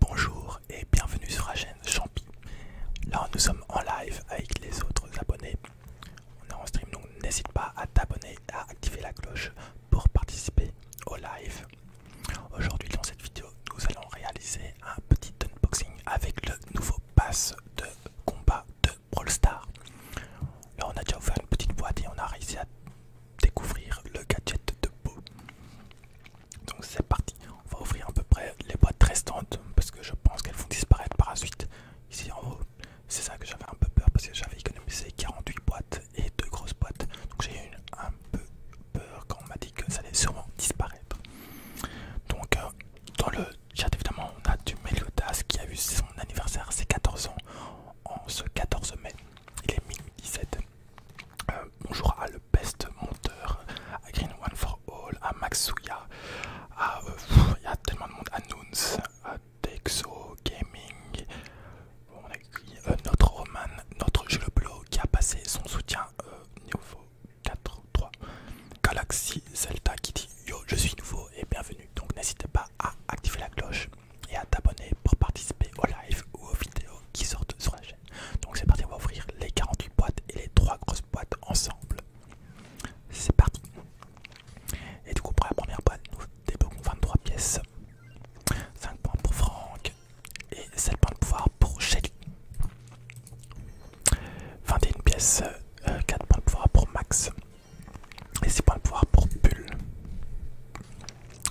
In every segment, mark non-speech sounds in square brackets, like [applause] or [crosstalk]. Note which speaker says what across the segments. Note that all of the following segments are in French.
Speaker 1: Bonjour et bienvenue sur la chaîne Champi. Là nous sommes en live avec les autres abonnés. On est en stream donc n'hésite pas à t'abonner et à activer la cloche pour participer au live. Aujourd'hui dans cette vidéo nous allons réaliser un petit unboxing avec le nouveau pass de combat de Brawl Star. Là on a déjà ouvert une petite boîte et on a réussi à découvrir le gadget de Beau. Donc c'est parti, on va ouvrir à peu près les boîtes restantes parce que je pense qu'elles vont disparaître par la suite. Ici en haut, c'est ça que j'avais un peu peur parce que j'avais économisé 48 boîtes et deux grosses boîtes. Donc j'ai eu un peu peur quand on m'a dit que ça allait sûrement disparaître. Donc euh, dans le chat évidemment on a du Meliodas qui a eu son anniversaire, c'est 14 ans en ce 14 mai. Il est 1017. Euh, bonjour à le best monteur, à Green One for All, à Maxuya, à euh, il tellement de monde, à Nouns, à Texo Gaming, on euh, notre Roman, notre blog qui a passé son soutien niveau 4 Galaxy Zelda qui dit yo je suis nouveau et bienvenue donc n'hésitez pas à activer la cloche et à t'abonner pour participer aux lives ou aux vidéos qui sortent sur la chaîne. Donc c'est parti, on va ouvrir les 48 boîtes et les 3 grosses boîtes ensemble. C'est parti. Et du coup pour la première boîte, nous débloquons 23 pièces, 5 points pour Franck et 7 points de pouvoir pour Shelly. 21 pièces, 4 euh, points de pouvoir pour Max et 6 points de pouvoir pour Bull.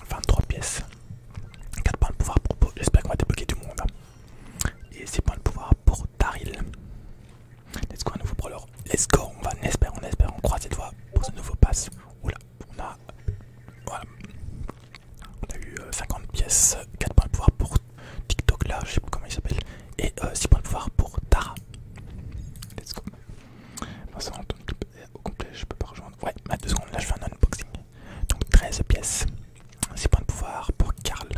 Speaker 1: 23 pièces, 4 points de pouvoir pour l'espère j'espère qu'on va débloquer du monde. Et 6 points de pouvoir pour Taril Let's go, un nouveau brawler. Let's go, on va, on espère, on espère, on croise cette fois pour ce nouveau pass. Oula, on a. Voilà. On a eu 50 euh, pièces, 4 points de pouvoir pour TikTok là, je sais plus comment il s'appelle, et 6 euh, points de pouvoir pour Tara. Let's go. Moi ça, au complet, je peux pas rejoindre. Ouais, à 2 secondes, là je fais un unboxing. Donc 13 pièces, 6 points de pouvoir pour Karl.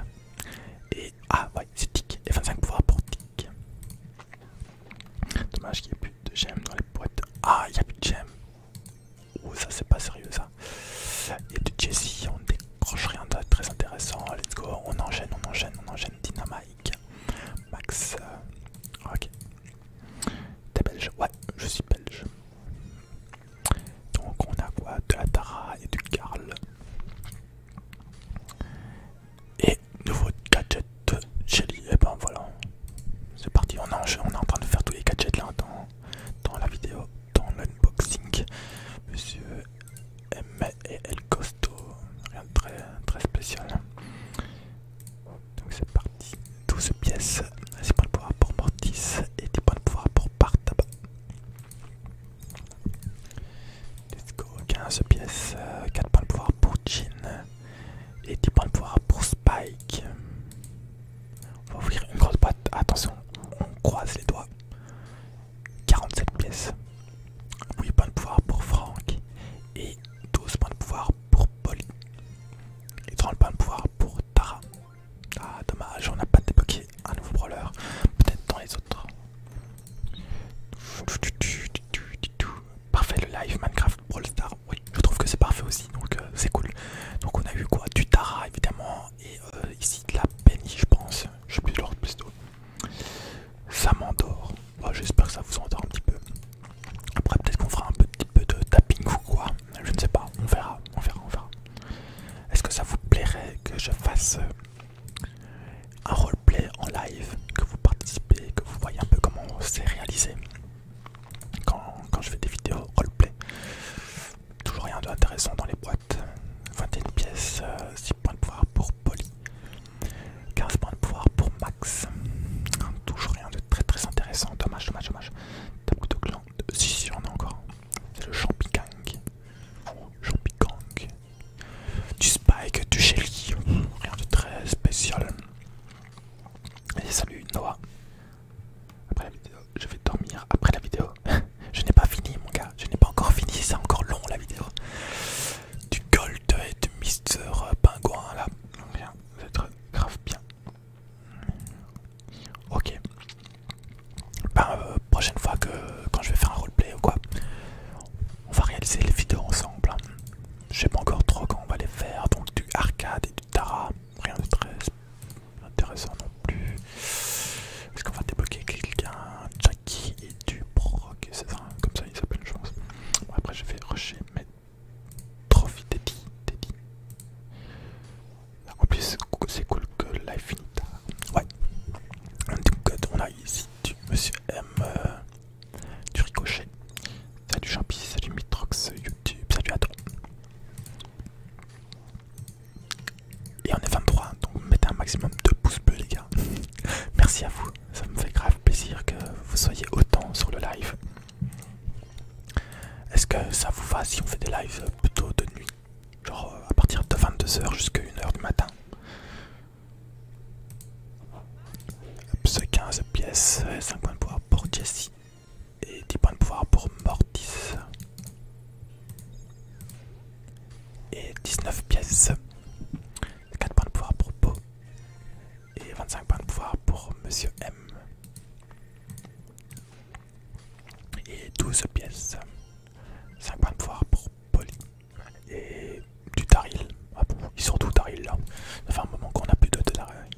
Speaker 1: Et ah ouais, c'est Tic. Et 25 pouvoirs pour Tic. Dommage qu'il n'y ait plus de gemmes dans les boîtes. Ah, il n'y a plus de gemmes. Oh, ça c'est pas sérieux ça. Il y a Jessie, on décroche rien de très intéressant. Let's go, on enchaîne, on enchaîne, on enchaîne. Dynamite, Max. Euh, ok, T'es belge Ouais, je suis belge. Donc on a quoi De la Tara et du Karl. Et nouveau gadget de Jelly. Et eh ben voilà. C'est parti, on est, en train de faire tous les gadgets là dans, dans la vidéo, dans l'unboxing. Monsieur M et Costo, rien de très, très spécial. Donc c'est parti. 12 pièces, 6 points de pouvoir pour Mortis et 10 points de pouvoir pour Partaba. Let's go, 15 pièces, 4 points de pouvoir pour Jin et 10 points de pouvoir pour Spike. On va ouvrir une grosse boîte, attention, on croise les doigts. 47 pièces. 8 points de pouvoir pour Franck et 12 points de pouvoir pour Polly et 30 points de pouvoir pour Tara. Ah dommage, on n'a pas débloqué un nouveau brawler, peut-être dans les autres. Parfait le live Minecraft Brawl oui je trouve que c'est parfait aussi donc euh, c'est cool. Donc on a eu quoi Du Tara évidemment et euh, ici de la Penny je pense, je sais plus l'ordre plus ça m'endort. J'espère que ça vous endort un petit peu. Après, peut-être qu'on fera un petit peu de tapping ou quoi. Je ne sais pas. On verra. On verra. On verra. Est-ce que ça vous plairait que je fasse euh, un roleplay en live Que vous participez, que vous voyez un peu comment c'est réalisé quand, quand je fais des vidéos roleplay. Toujours rien d'intéressant dans les boîtes. 21 pièces, euh, 15 points de pouvoir pour Polly, 15 points de pouvoir pour Max. Toujours rien de très très intéressant, dommage, dommage, dommage. Tabou de clan, si si on a encore. C'est le Champikang. Champikang. Du Spike, du Shelly, rien de très spécial. salut Noah. Après la vidéo, je vais dormir après la vidéo. [laughs] je n'ai pas fini mon gars, je n'ai pas encore fini, c'est encore long la vidéo du Gold et du Mister Pingouin là. Bien, vous grave bien. Ok. Ben, euh, prochaine fois que quand je vais faire un roleplay ou quoi, on va réaliser les vidéos ensemble. Hein. J'ai sais pas encore trop quand on va les faire, donc du arcade et du tara, rien de très intéressant non plus. Est-ce qu'on va débloquer quelqu'un qui est du Proc, c'est ça, hein, comme ça il s'appelle, une chance. après, je vais rusher mes trophies Teddy. En plus, c'est cool que Life Finita. Ouais. En tout cas, on a ici du Monsieur M, euh, du Ricochet. Salut Champi, salut Mitrox, YouTube, salut à toi. Et on est 23, donc mettez un maximum de pouces bleus les gars. [laughs] Merci à vous, ça me fait grave plaisir que vous soyez autant sur le live. Est-ce que ça vous va si on fait des lives plutôt de nuit Genre euh, à partir de 22h jusqu'à 1h du matin Ce 15 pièces, 5 euh, points de pouvoir pour Jesse et 10 points de pouvoir pour Mortis et 19 pièces. 4 points de pouvoir pour Po et 25 points de pouvoir pour Monsieur M. Et 12 pièces. 5 points de pouvoir pour Polly. Et du Taril. Ah ils sont tous Taril là. Ça fait un moment qu'on a plus de Taril.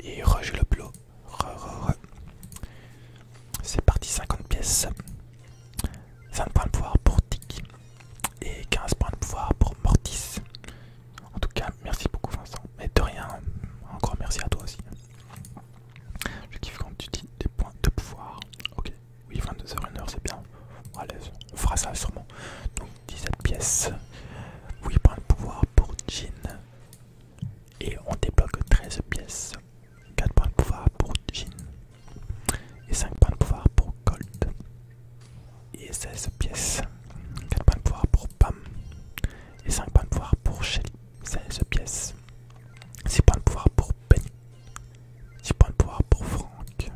Speaker 1: Et Roger le Blot. Re, c'est parti 50 pièces. 5 points de pouvoir pour Tic et 15 points de pouvoir pour Mortis. En tout cas, merci beaucoup Vincent. Mais de rien, encore merci à toi aussi. Je kiffe quand tu dis des points de pouvoir. Ok, oui, 22h, 1h, c'est bien. on fera ça sûrement. Donc 17 pièces, 8 points de pouvoir pour Jean. Et on débloque 13 pièces 4 points de pouvoir pour Jean et 5 points de pouvoir pour Gold et 16 pièces 4 points de pouvoir pour Pam et 5 points de pouvoir pour Shelly 16 pièces 6 points de pouvoir pour Benny 6 points de pouvoir pour Franck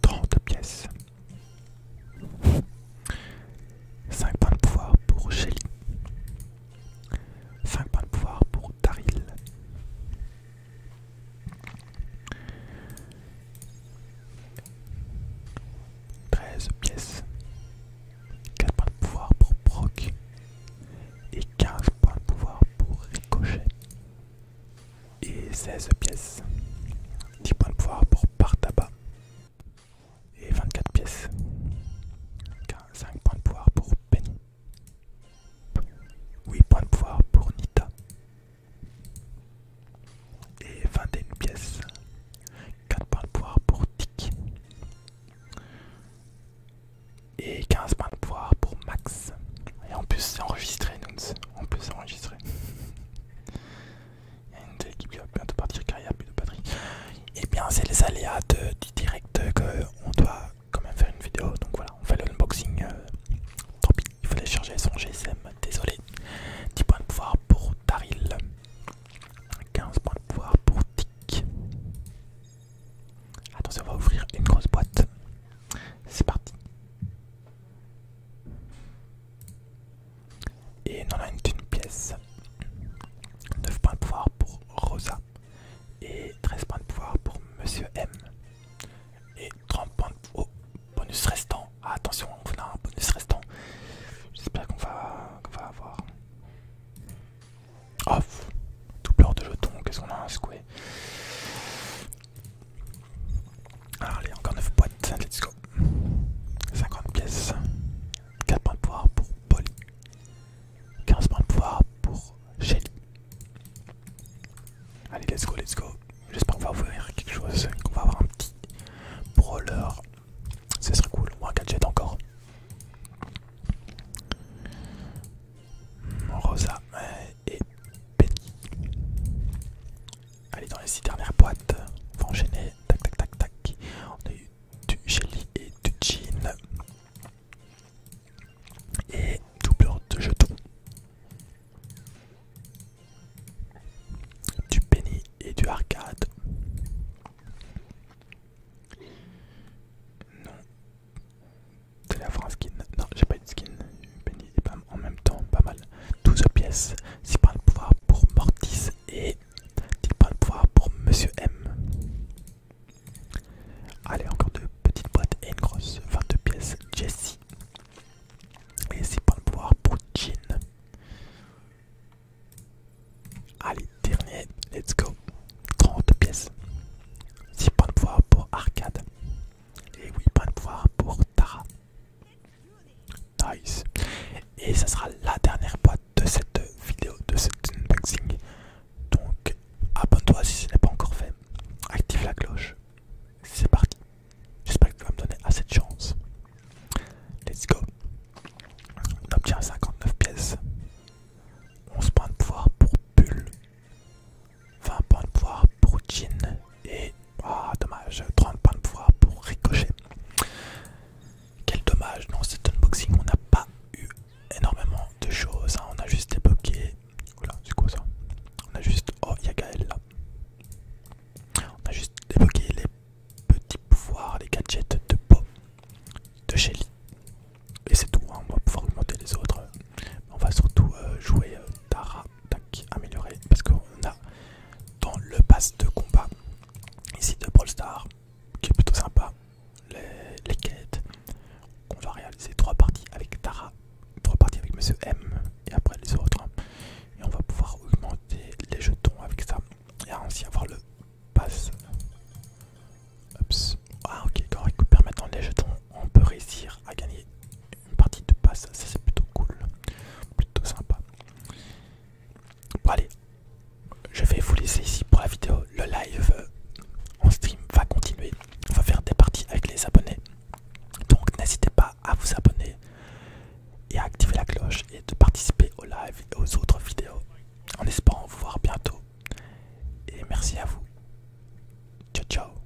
Speaker 1: 30 pièces 5 points de pouvoir pour Shelly 5 points de pouvoir pour Taril. 13 pièces, 4 points de pouvoir pour Brock et 15 points de pouvoir pour Ricochet et 16 pièces, 10 points de pouvoir pour Partaba et 24 pièces. 5 points de pouvoir pour Penny. 8 points de pouvoir pour Nita. Et 21 pièces. 4 points de pouvoir pour Tiki. Et 15 points de pouvoir pour Max. Et en plus c'est enregistré, Nouns. En plus c'est enregistré. [laughs] partir plus de batterie. Et eh bien c'est les aléas de, du direct qu'on doit quand même faire une vidéo. Donc voilà, on fait l'unboxing. unboxing. Euh, tant pis, il fallait charger son GSM, désolé. 10 points de pouvoir pour Taril. 15 points de pouvoir pour Tic. Attention, on va ouvrir une grosse boîte. C'est parti. Et on en a une d'une pièce. 9 points de pouvoir pour Rosa. Et 13 points de pouvoir pour Monsieur M. Et 30 points de pouvoir oh, bonus restant. Ah, attention, on a un bonus restant. J'espère qu'on va, avoir. Oh, doubleur de jetons, qu'est-ce qu'on a un secoué Allez, encore 9 boîtes, let's go. 50 pièces. 4 points de pouvoir pour Polly. 15 points de pouvoir pour Shelly. Allez, let's go, let's go. J'espère qu'on va ouvrir quelque chose, qu'on va avoir un petit brawler. Ce serait cool, Moi, un gadget encore. Rosa euh, et Penny. Allez, dans les 6 dernières boîtes, on va enchaîner. Tac, tac, tac, tac. On a eu du jelly et du jean. Et doubleur de jetons. Du penny et du arcade. Non. T'allais avoir un skin. Non, j'ai pas eu de skin. Penny en même temps, pas mal. 12 pièces, 6 points le pouvoir pour Mortis et 10 points le pouvoir pour Monsieur M. Allez, encore deux petites boîtes et une grosse, 22 pièces, Jessie. Et 6 points le pouvoir pour Jean. Allez, dernier, let's go. 30 pièces. 6 points de pouvoir pour Arcade. Et 8 points de pouvoir pour Tara. Nice. Et ça sera la dernière boîte de cette vidéo, de cet unboxing. Donc abonne-toi si ce n'est pas encore fait. Active la cloche. C'est parti. J'espère que tu vas me donner assez de chance. Let's go. On obtient 59 pièces. 11 points de pouvoir pour Bull. 20 points de pouvoir pour Jean et ah dommage 30 points de pouvoir pour ricocher quel dommage dans cet unboxing on n'a pas eu énormément de choses hein. on a juste débloqué oula c'est quoi ça on a juste oh il y a Gaël là on a juste débloqué les petits pouvoirs les gadgets de po de Shelly et c'est tout hein. on va pouvoir augmenter les autres on va surtout euh, jouer euh, Tara améliorer parce qu'on a dans le pass de combat ici de Brawl Star qui est plutôt sympa les, quêtes qu'on va réaliser trois parties avec Tara, trois parties avec Monsieur M et après les autres hein. et on va pouvoir augmenter les jetons avec ça et ainsi avoir le pass. Ah ok, quand on récupère maintenant les jetons, on peut réussir à gagner une partie de passe, ça c'est plutôt cool, plutôt sympa. Bon allez, je vais vous laisser ici pour la vidéo, le live euh, en stream va continuer, on va faire des parties avec les abonnés, donc n'hésitez pas à vous abonner et à activer la cloche et de participer au live et aux autres vidéos en espérant vous voir bientôt. Et merci à vous. Ciao ciao